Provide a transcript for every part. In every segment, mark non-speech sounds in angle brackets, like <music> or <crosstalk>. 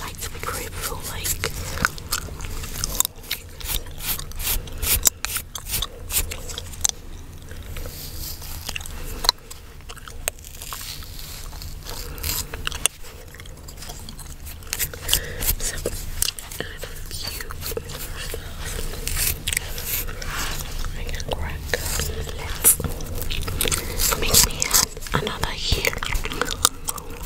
like to be grateful, like so, I you first off, I can crack let make me add another here Quick lip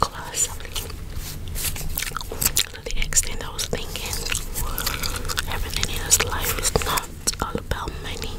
gloss. To the extent I was thinking, everything in this life is not all about money.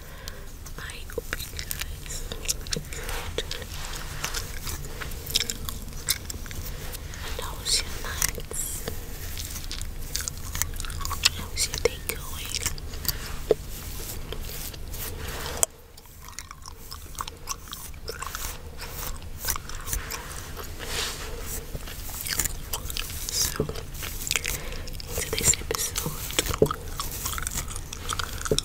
I hope you guys enjoyed. And how was your going? So, in episode,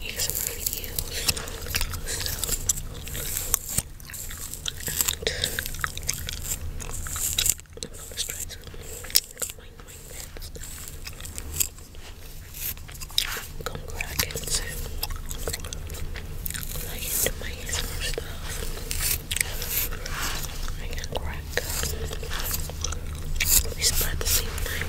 ASMR videos. So, and let's try to combine my bits. Congratulations. I into my ASMR stuff. I can crack. We spread the same time.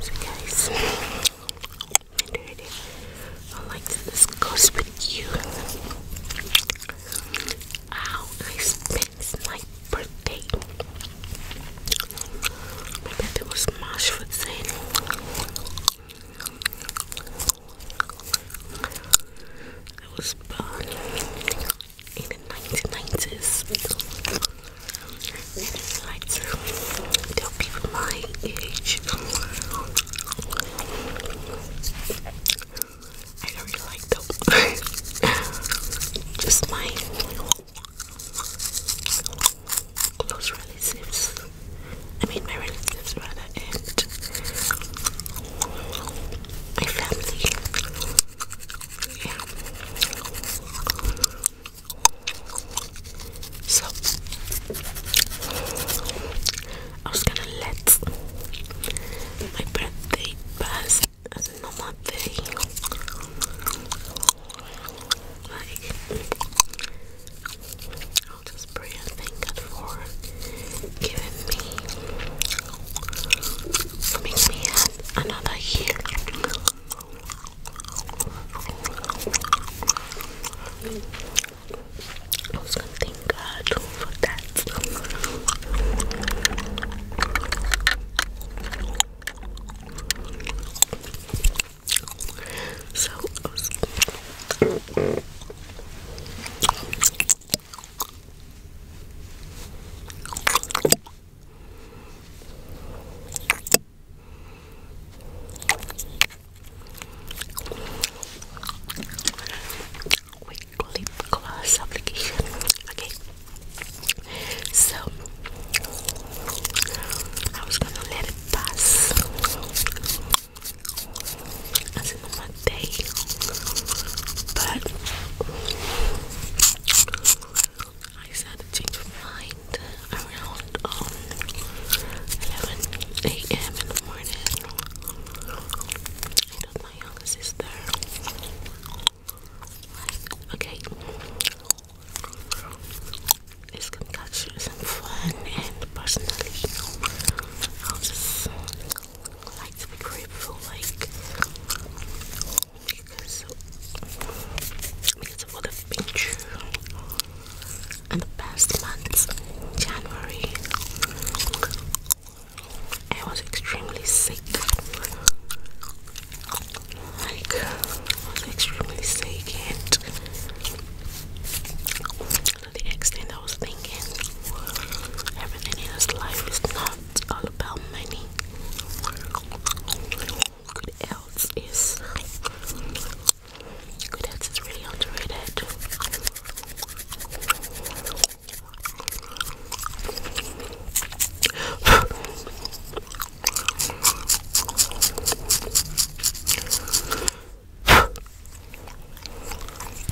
So guys, I like that this goes with you. How I spent my birthday. My birthday was March 14th. It was born in the 1990s. And I like to my age. I don't really like them. <laughs> Just my close relatives. I mean my relatives rather my family. Yeah. So I was gonna let my birthday pass as a day. Like I'll just pray and thank God for giving me makes me another year. I was gonna thank God for that. So Quick lip application. Okay, so I was gonna let it pass but I decided to change my mind around um, 11 a.m. in the morning. I told my younger sister, okay, this concoction is fun, and personally, I'll just like because because of what I've been the past months, January. I was extremely sick. Like I was extremely sick and to the extent I was thinking everything in this life is not it's all about money. Good else is good else is really underrated. If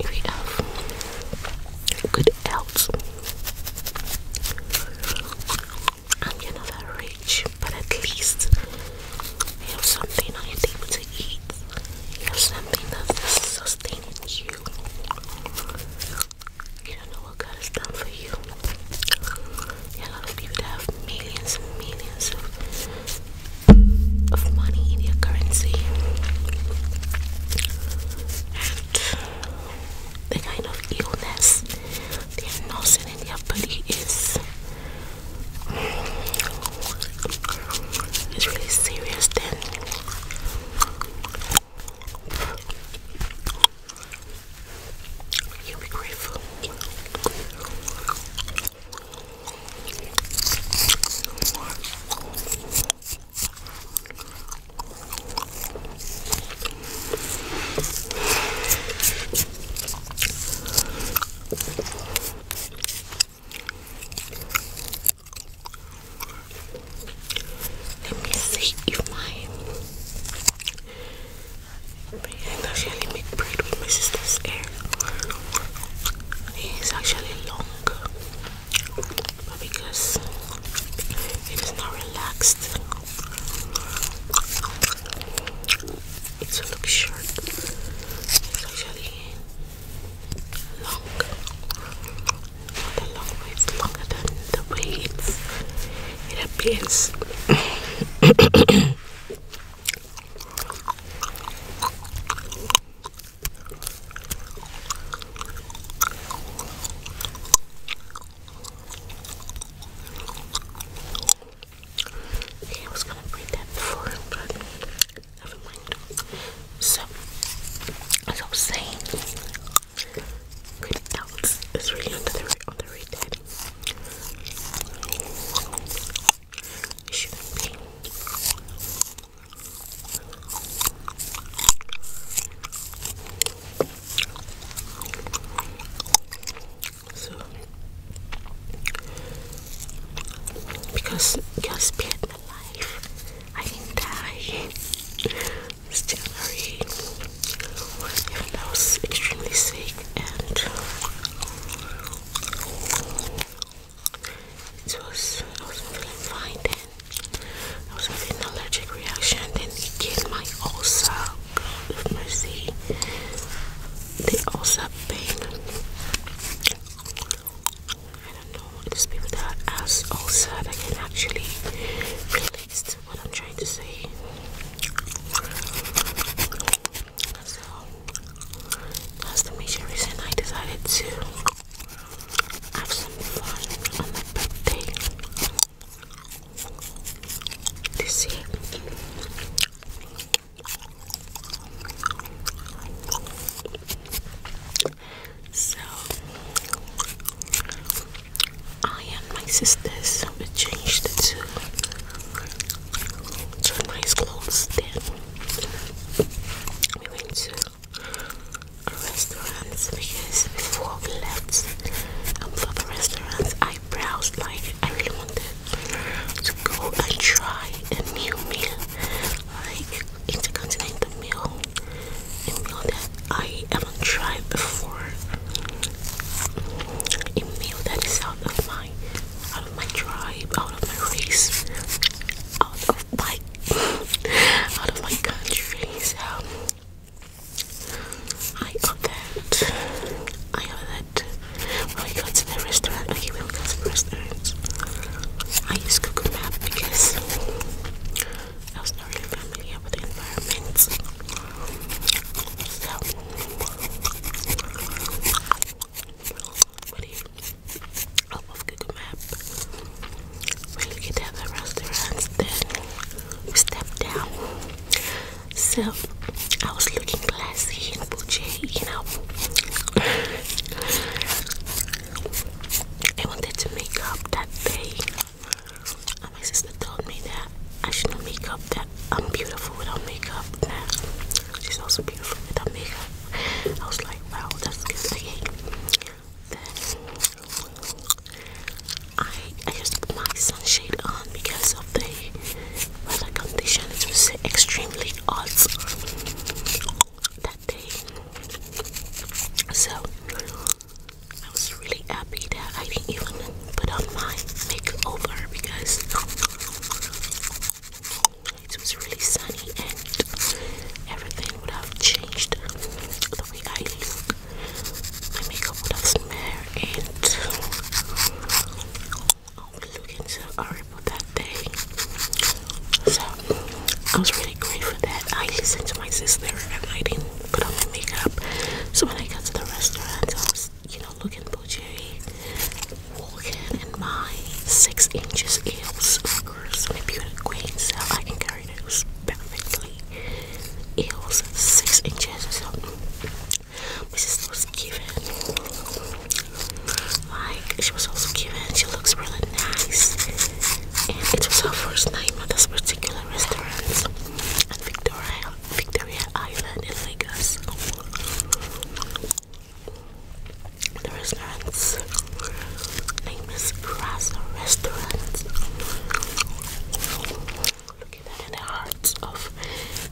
you have good health, and you're not that rich, but at least you have something that you're able to eat. You have something that's sustaining you. You don't know what God has done for you. a lot of people have millions and millions of, of money in their currency. And the kind of illness they are nursing in their body is it's really serious then. You'll be grateful. Let me see if my I actually make braid with my sister's hair. It's actually long, but because it is not relaxed, it's a look short. It's actually long. Not a long way, it's longer than the way it appears. I was gonna bring that before, but never mind. So, as I was saying, great else is really under the underrated. It shouldn't be. So because God spared my life, I didn't die. Still very, even I was extremely sick, and it was I wasn't feeling fine then. I was having an allergic reaction, then it my ulcer. mercy. They all pain. I don't know what people that are as also I can actually relate what I'm trying to say. So that's the major reason I decided to have some fun on my birthday this year. So, I and my sisters we changed to to nice clothes. Then we went to a restaurant because before we left for the restaurants, I browsed like I really wanted to go and try a new meal, like intercontinental meal, a meal that I haven't tried before, a meal that is out of my, out of my tribe, out of my race, out of my, <laughs> out of my country. So I ordered, I ordered we go to the restaurant? Okay, we will I use Google Map because I was not really familiar with the environment. So, what Google Map? We look at the other then we step down. So, I was looking classy in bougie you know. I wanted to make up that day. Uh, my sister told me that I should make up that I'm beautiful without makeup. That she's also beautiful without makeup. I was like, wow, that's good. Okay. Then I I just put my sunshade on because of the weather conditions were extremely hot that day. So I was really happy that I didn't even put on my makeover because it was really sunny and everything would have changed the way I look. My makeup would have smeared and was looking so horrible that day. So I was really great for that I listened to my sister and I didn't put on my makeup. So when I got to the restaurant, I was, you know, looking bougie, walking in my six inches heels. Of course, I'm a beauty queen, so I can carry those perfectly. Heels six inches. So this is was giving like, she was also cute and she looks really nice. And it was her first night at this particular restaurant Victoria, Victoria Island in Lagos. The restaurant's name is Grasa Restaurant. Located in the heart of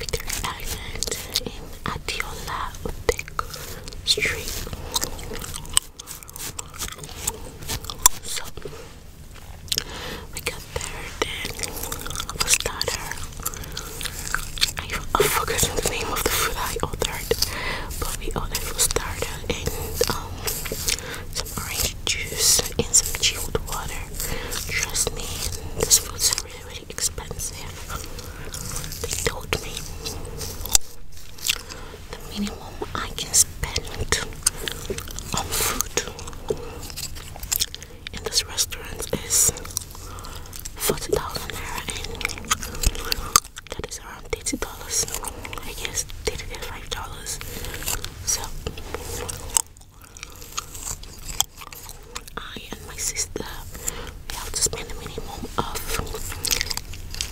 Victoria Island Adiola Utek Street. So we got there then for starter. I, I forgot the name of the food I ordered, but we ordered for starter and um, some orange juice and some chilled water. Trust me, this food's really, expensive. They told me the minimum I can spend on food in this restaurant is 40,000 naira and that is around $80. I guess they did it $5. So and my sister, we have to spend a minimum of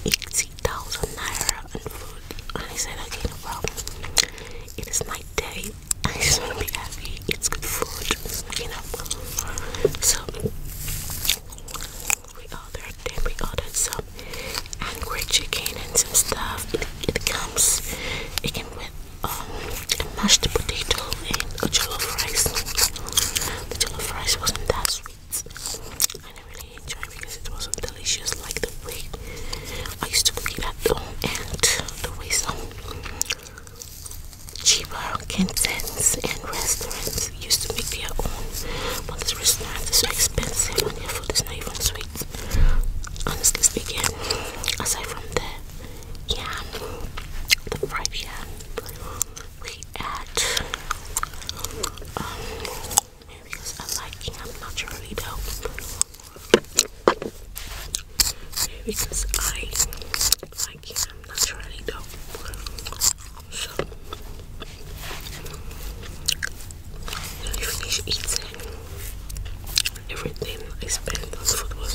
80,000 naira on food. And I said, okay, no problem. It is my day. I just want to be happy. It's good food, you know. So we ordered, then we ordered some angry chicken and some stuff. It, it comes with a um, mashed potato and a jollof rice. The jollof rice wasn't that sweet. I didn't really enjoy it because it wasn't delicious like the way I used to cook it at home and the way some cheaper cantins and restaurants used to make their own. But this restaurant is so expensive and their food is not even sweet. Honestly speaking, aside from the yam, the fried yam we at um, maybe it's a liking, I'm not sure really though. Maybe because I like it, I'm not sure really though. So when you finish eating everything I spent on food was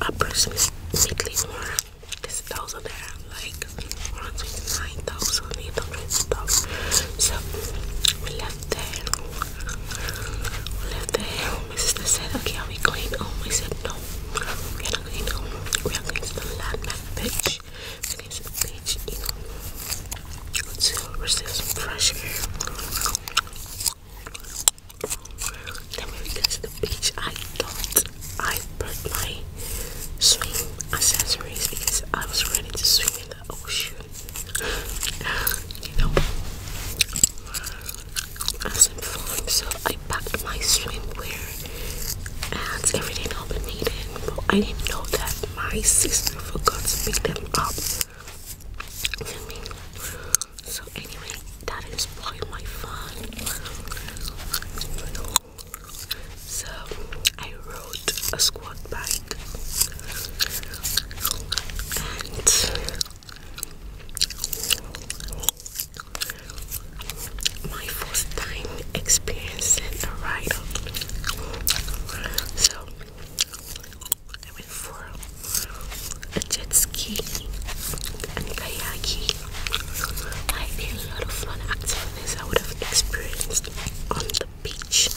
approximately more this thousand that have like around 29,000, 800,000. So we left there. We left there. My said, Okay, are we going home? I said, No, we are not going home. We are going to the landmark beach. We're going to the beach, you know, to receive some fresh when we got to the beach, I thought I brought my swim accessories because I was ready to swim in the ocean. you know, as in fun. So I packed my swimwear and everything I'll be needing. But I didn't know that my sister forgot to pick them up So anyway, that is probably my fun. So I rode a squat bike and my first time experiencing a ride So I went for a jet ski and kayaking like a lot of fun activities I would have experienced on the beach.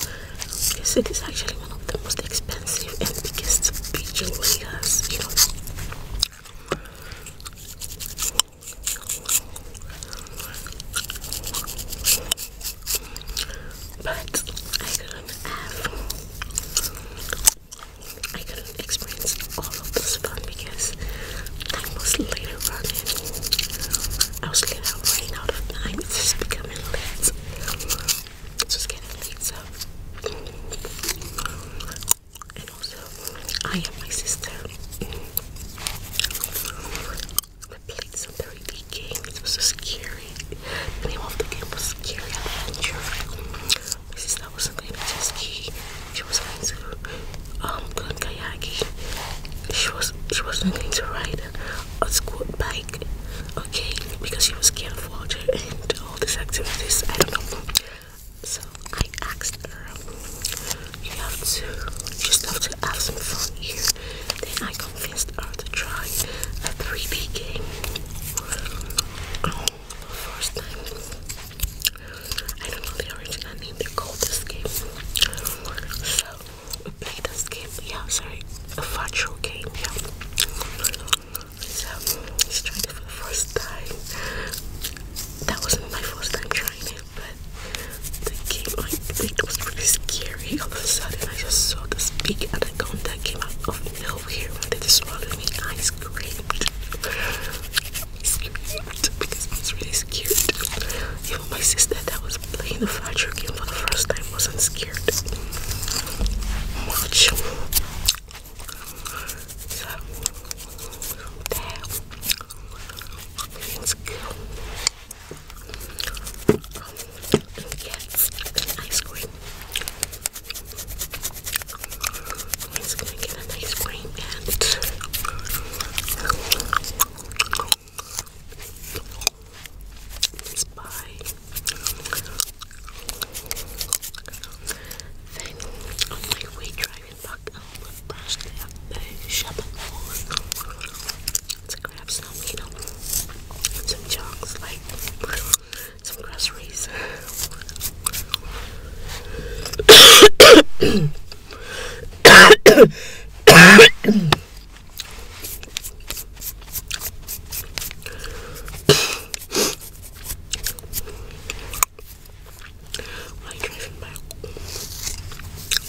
This it is actually one of the most expensive and biggest beach in Vegas, you know. But I couldn't have I couldn't experience all of this fun because I was later running. I was later running out of time. It's just becoming late. It's just getting late, so. And also, I and my sister we played some 3D games. It was so scary. The name of the game was Scary sister wasn't going to ski. She was going to um go kayaking. She was she wasn't going to ride a squat bike, okay, because she was scared of water and all these activities. I don't know. So I asked her, you have to just have to have some fun here. Then I convinced her to try a 3D game. Um, first time. I don't know the original name, they called this game. So, we played this game, yeah, sorry, a virtual game, yeah. So, I'm trying it for the first time. That wasn't my first time trying it, but the game, I think it was really scary. All of a sudden, I just saw this big anaconda came out of nowhere and they just swallowed me. I screamed it's cute because it's really scared. Even my sister that was playing the fried game for the first time wasn't scared So, there. It's yes, ice cream. Um, I'm gonna get an ice cream and this Then on my way driving back home, I brushed out the shopping mall to grab some, you know, some chunks, like some groceries.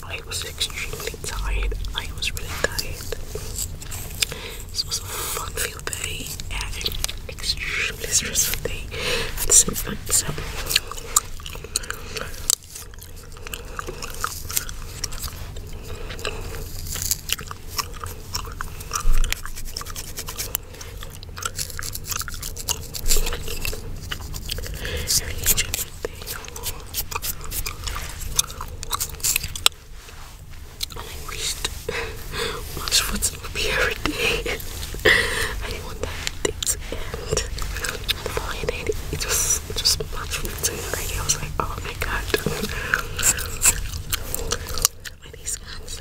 I was extremely tired. I was really tired. This was a fun field day blisters for the at the same time. So and I wished much would be everything. I want that and flying it just it just much right I was like, oh my god. My <laughs> these ones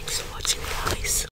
Thanks for watching guys.